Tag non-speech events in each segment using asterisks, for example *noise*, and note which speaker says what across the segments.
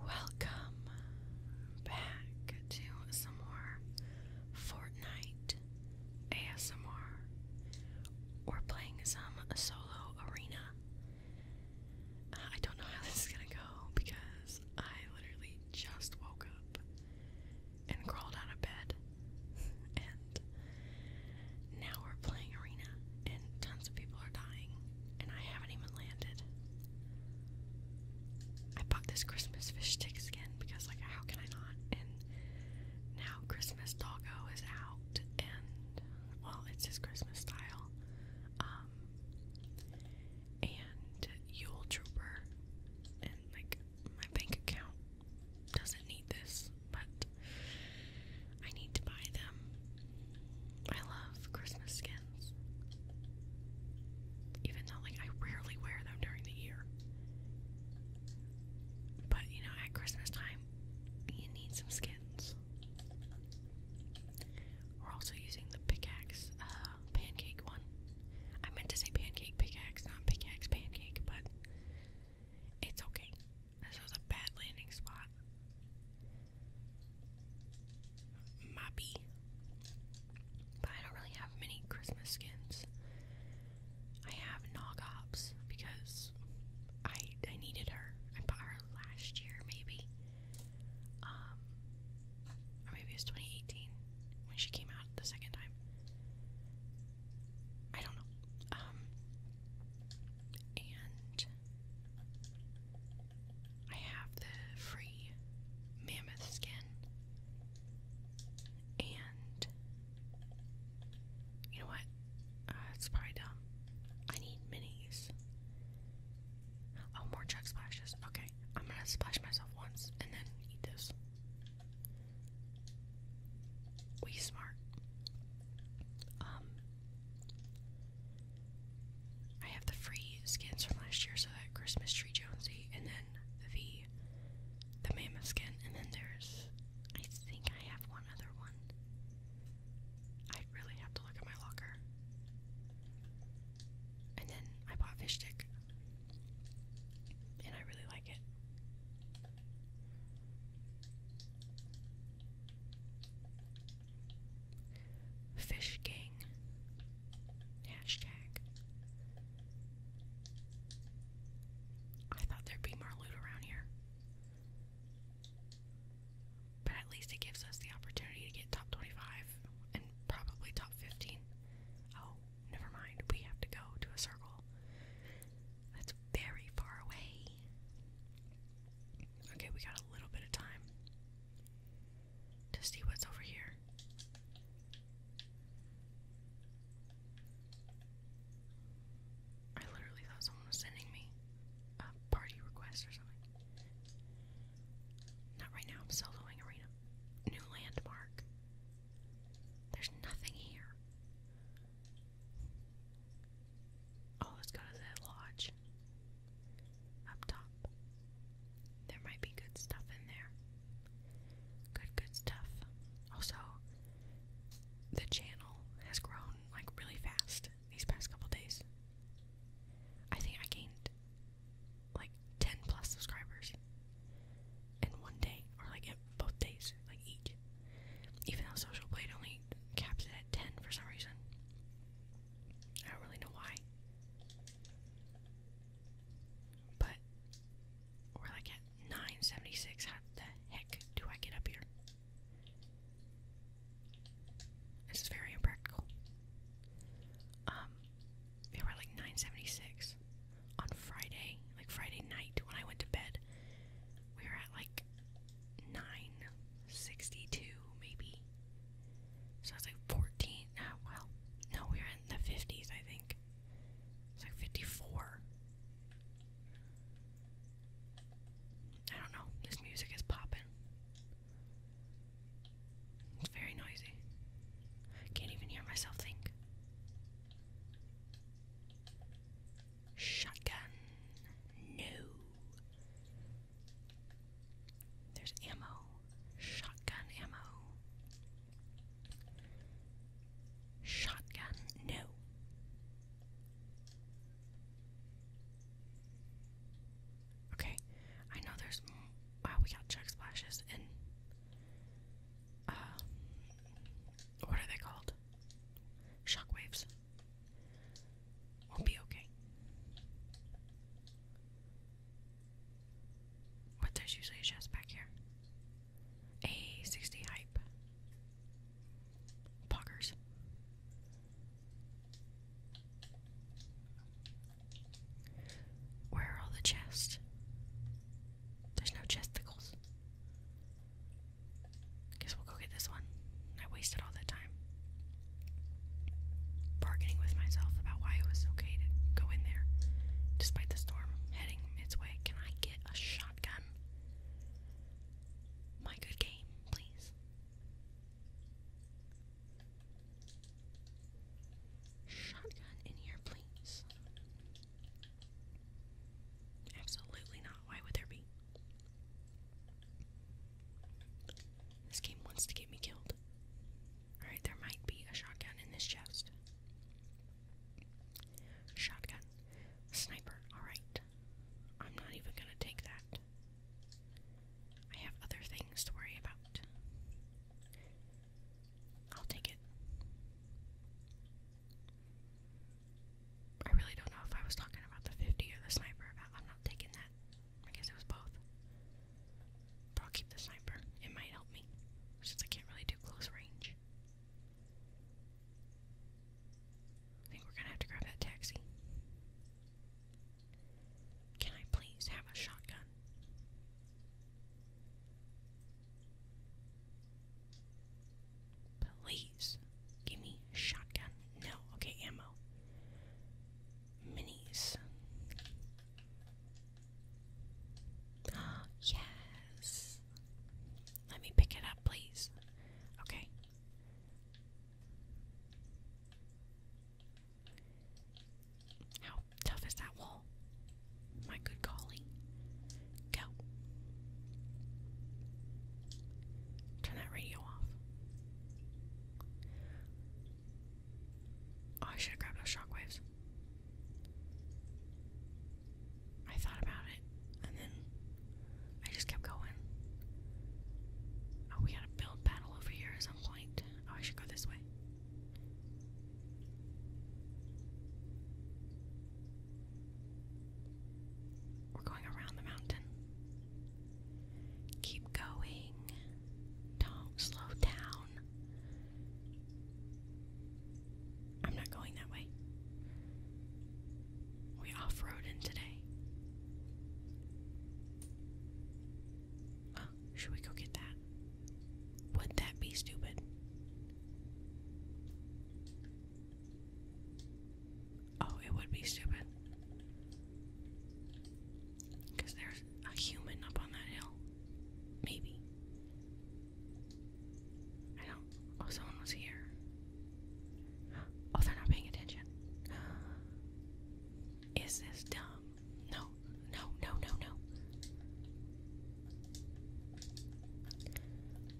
Speaker 1: Welcome back to some more Fortnite ASMR. We're playing some solo arena. Uh, I don't know how *laughs* this is gonna go because I literally just woke up and crawled out of bed, *laughs* and now we're playing arena, and tons of people are dying and I haven't even landed. I bought this Christmas fish stick again because, like, how can I not? And now Christmas Doggo is out, and well, it's his Christmas style. Um, and Yule Trooper, and like my bank account doesn't need this, but I need to buy them. I love Christmas skins. Even though, like, I rarely wear them during the year. But, you know, at Christmas time, you need some skins. We're also using the pickaxe, uh, pancake one. I meant to say pancake pickaxe, not pickaxe pancake, but it's okay. This was a bad landing spot. Moppy. But I don't really have many Christmas skins. I have Nogops because I I needed her. I bought her last year maybe. Um or maybe it was 2018 when she came out the second time. I don't know. Um and I have the free mammoth skin and you know what? Uh, it's probably dumb. I need minis. Oh, more chuck splashes. Okay, I'm gonna splash myself once and then eat this. We smart. Um, I have the free skins from last year, so that Christmas Tree Jonesy, and then the the mammoth skin, and then there's I think I have one other one. I really have to look at my locker. And then I bought fish stick. And I really like it. Fish Gang hashtag. I thought there'd be more loot around here. But at least it gives us the opportunity to get top 25 and probably top 15. Oh, never mind. We have to go to a circle that's very far away. Okay, we got a little bit of time to see what's over here. I literally thought someone was sending me a party request or something. Not right now, soloing arena. New landmark. There's nothing here. Oh, let's go to the lodge. Up top. There might be good stuff in there. Good, good stuff. Also, the channel has grown like really fast these past couple days. I think I gained like 10 plus subscribers in one day, or like both days, like each. Even though Social Blade only caps it at 10 for some reason. I don't really know why. But we're like at 976. How the heck do I get up here? This is very impractical. Um, we're like 976 on Friday, like Friday night when I went to bed. We were at like 9 62, maybe. So it's like 14. Ah, well, no, we were in the 50s, I think. It's like 54. I don't know. This music is popping. It's very noisy. Can't even hear myself think. Shotgun. No. There's ammo, shotgun ammo. Shotgun, no. Okay, I know there's. Wow, we got check splashes and. Uh, what are they called? Shockwaves. We'll be okay. But there's usually a chest back here. A sixty hype. Poggers. Where are all the chests? There's no chesticles. Guess we'll go get this one. I wasted all that time bargaining with myself about why it was okay to go in there despite the storm heading its way. Can I get a shotgun? My good game, please. Shotgun in here, please. Absolutely not. Why would there be? This game wants to get me killed. Alright, there might be a shotgun in this chest. Shotgun. Sniper. Alright. I'm not even gonna take that. I have other things to worry about. I'll take it. I really don't know if I was talking about the 50 or the sniper. I'm not taking that. I guess it was both. I'll keep the sniper. It might help me. Since I can't really do close range. I think we're gonna have to grab that taxi. Can I please have a shotgun? Please. Give me shotgun. No. Okay, ammo. Minis. *gasps* yes. Let me pick it up, please. Okay. How tough is that wall? My good golly. Go. Turn that radio off. Oh, I should have grabbed those shockwaves. I thought about it, and then I just kept going. Oh, we gotta build battle over here at some point. Oh, I should go this way. We're going around the mountain. Keep going. Don't slow down. I'm not going that way. We off roaded today. Oh, should we go get that? Would that be stupid? Oh, it would be stupid. Because there's a human up on that hill. Maybe. I don't. Oh, someone was here. Oh, they're not paying attention. *gasps* Is this dumb? No, no, no, no, no.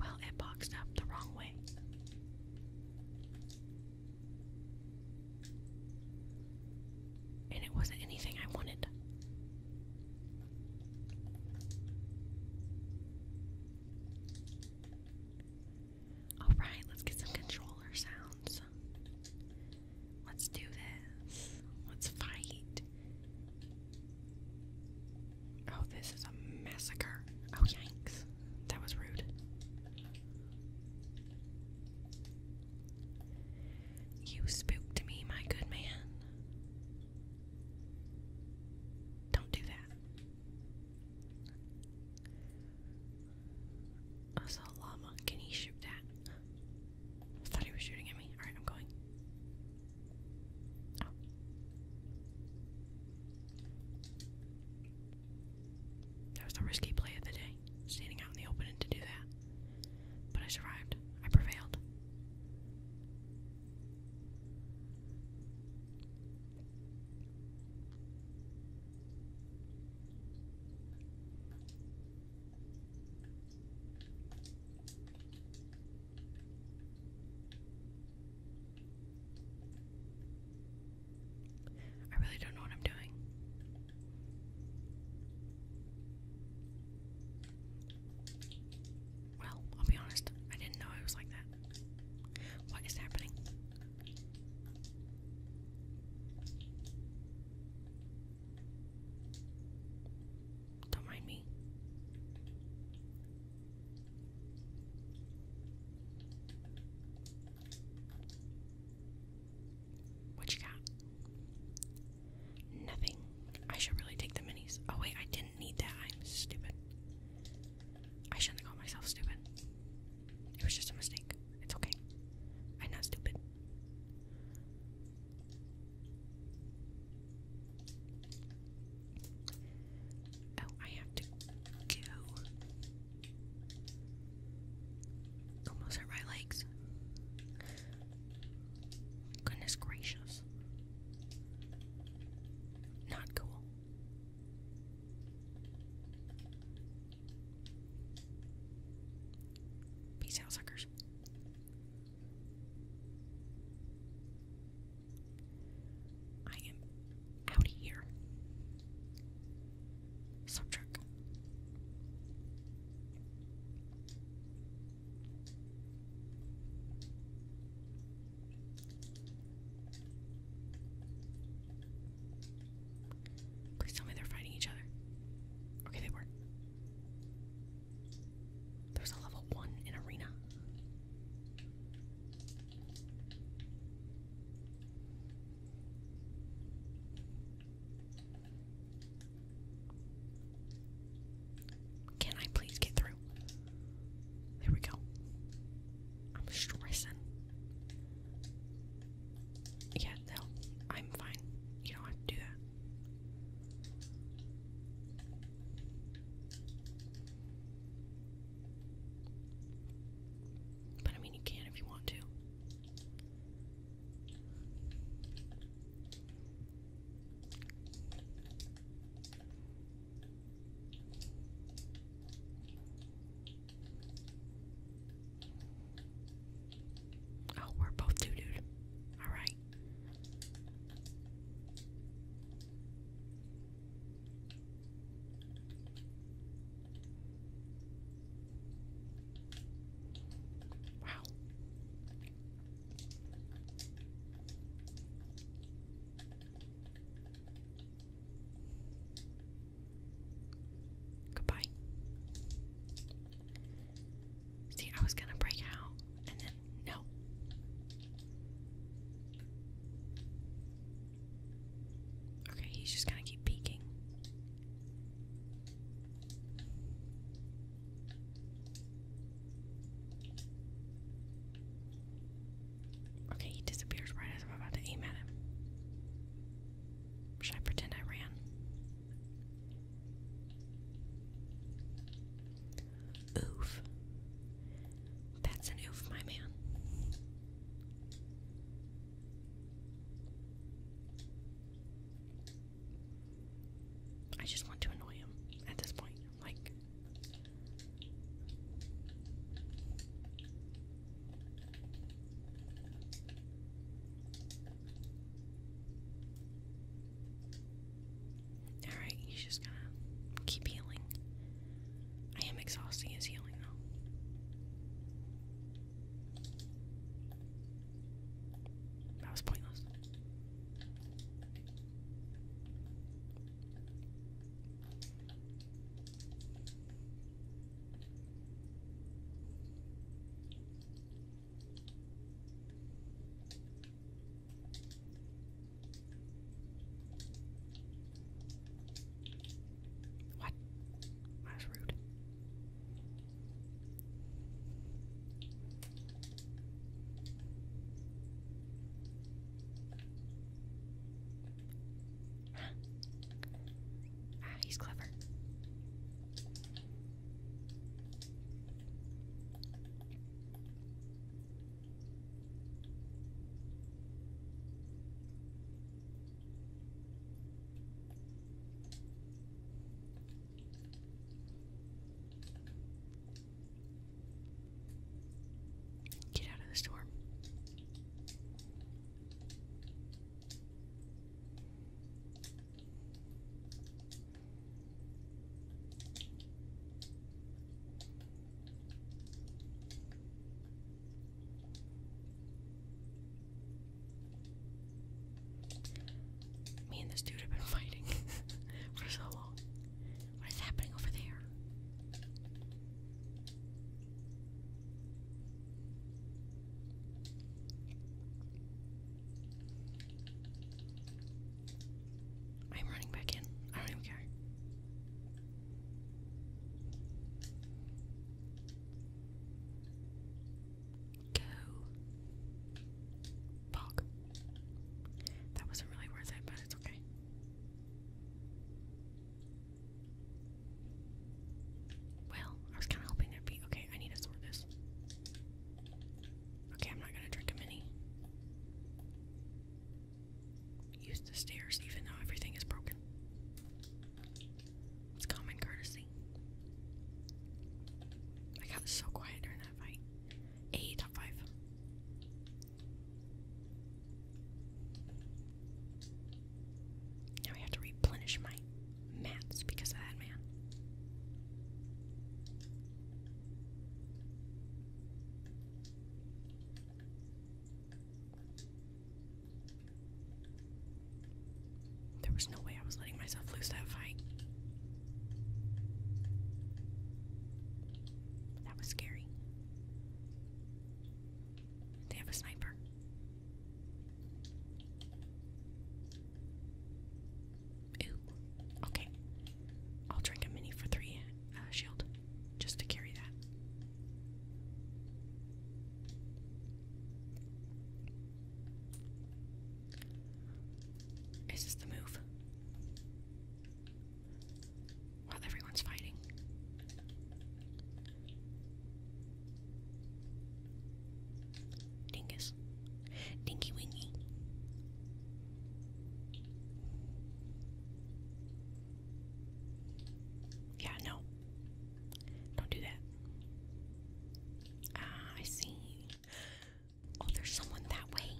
Speaker 1: Well, it boxed up the wrong way. And it wasn't anything I wanted. Alright, let's get some controller sounds. Let's do this. Let's fight. Oh, this is a massacre. Oh, yanks, That was rude. You spooked me, my good man. Don't do that. I saw a llama. Can he shoot that? I thought he was shooting at me. Alright, I'm going. Oh. That was the risky play of the day, standing out in the open to do that. But I survived. I prevailed. I really don't know what I'm doing. Well, I'll be honest, I didn't know it was like that. What is happening? Don't mind me. What you got? Nothing. I should really take the minis. Oh wait, I didn't need that. I'm stupid. I shouldn't have called myself stupid. It was just a mistake. It's okay. I'm not stupid. Oh, I have to go. Almost hurt my legs. Goodness gracious. Not cool. Peace out, suckers. I am out here. Sub Please tell me they're fighting each other. Okay, they were. There's a level one in arena. Can I please get through? There we go. I'm stressing. Yeah, no, I'm fine. You don't have to do that. But I mean, you can if you want to. Oh, we're both doo doo. All right. Wow. Goodbye. See, I was gonna break out and then no. Okay, he's just gonna keep peeking. Okay, he disappears right as I'm about to aim at him. Should I pretend I ran? Oof. That's an oof, my man. I just want to annoy him at this point. Like, Alright, he's just gonna keep healing. I am exhausting his healing though. That was pointless. What? That was rude. *gasps* Ah, he's clever. Get out of the storm. Me and this dude have been *laughs* fighting *laughs* for so long. What is happening over there? I'm running back in. I don't even care. Go. Bog. That wasn't really worth it, but it's okay. Well, I was kind of hoping it'd be okay. I need to sort this. Okay, I'm not gonna drink a mini. Use the stairs even though everything is broken. It's common courtesy. I got so quiet during that fight. A top five. Now I have to replenish my mats because of that man. There was no way I was letting myself lose that fight. That was scary. They have a sniper. Okay. I'll drink a mini for three uh, shield just to carry that. Is this the move? While everyone's fighting. Dingus. Yes. Dinky Winky. Yeah, no. Don't do that. Ah, I see. Oh, there's someone that way.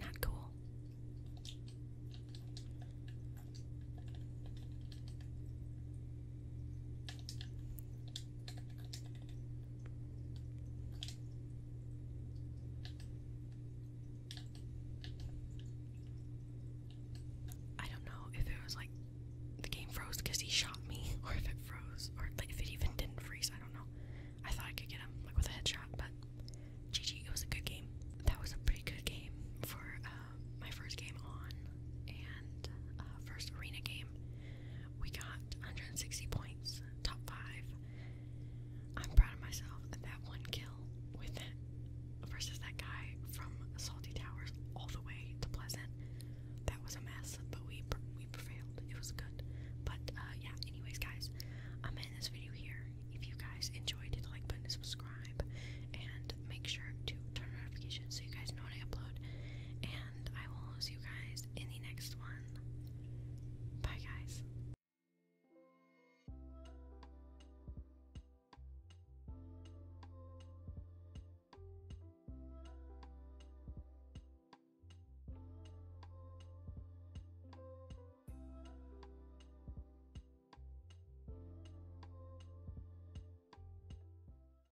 Speaker 1: Not cool. I don't know if it was like the game froze because he shot me, *laughs* or if it froze, or like if it even didn't freeze. I don't know. I thought I could get him like with a headshot, but GG. It was a good game. That was a pretty good game for uh, my first game on and uh, first arena game. We got 160 points, top five. I'm proud of myself at that one kill with it versus that guy from Salty Towers all the way to Pleasant. That was a mess, but we we prevailed. It was good. But uh, yeah, anyways, guys, I'm in this video here. If you guys enjoyed it, like button, subscribe, and make sure to turn on notifications so you guys know when I upload. I will see you guys in the next one. Bye, guys.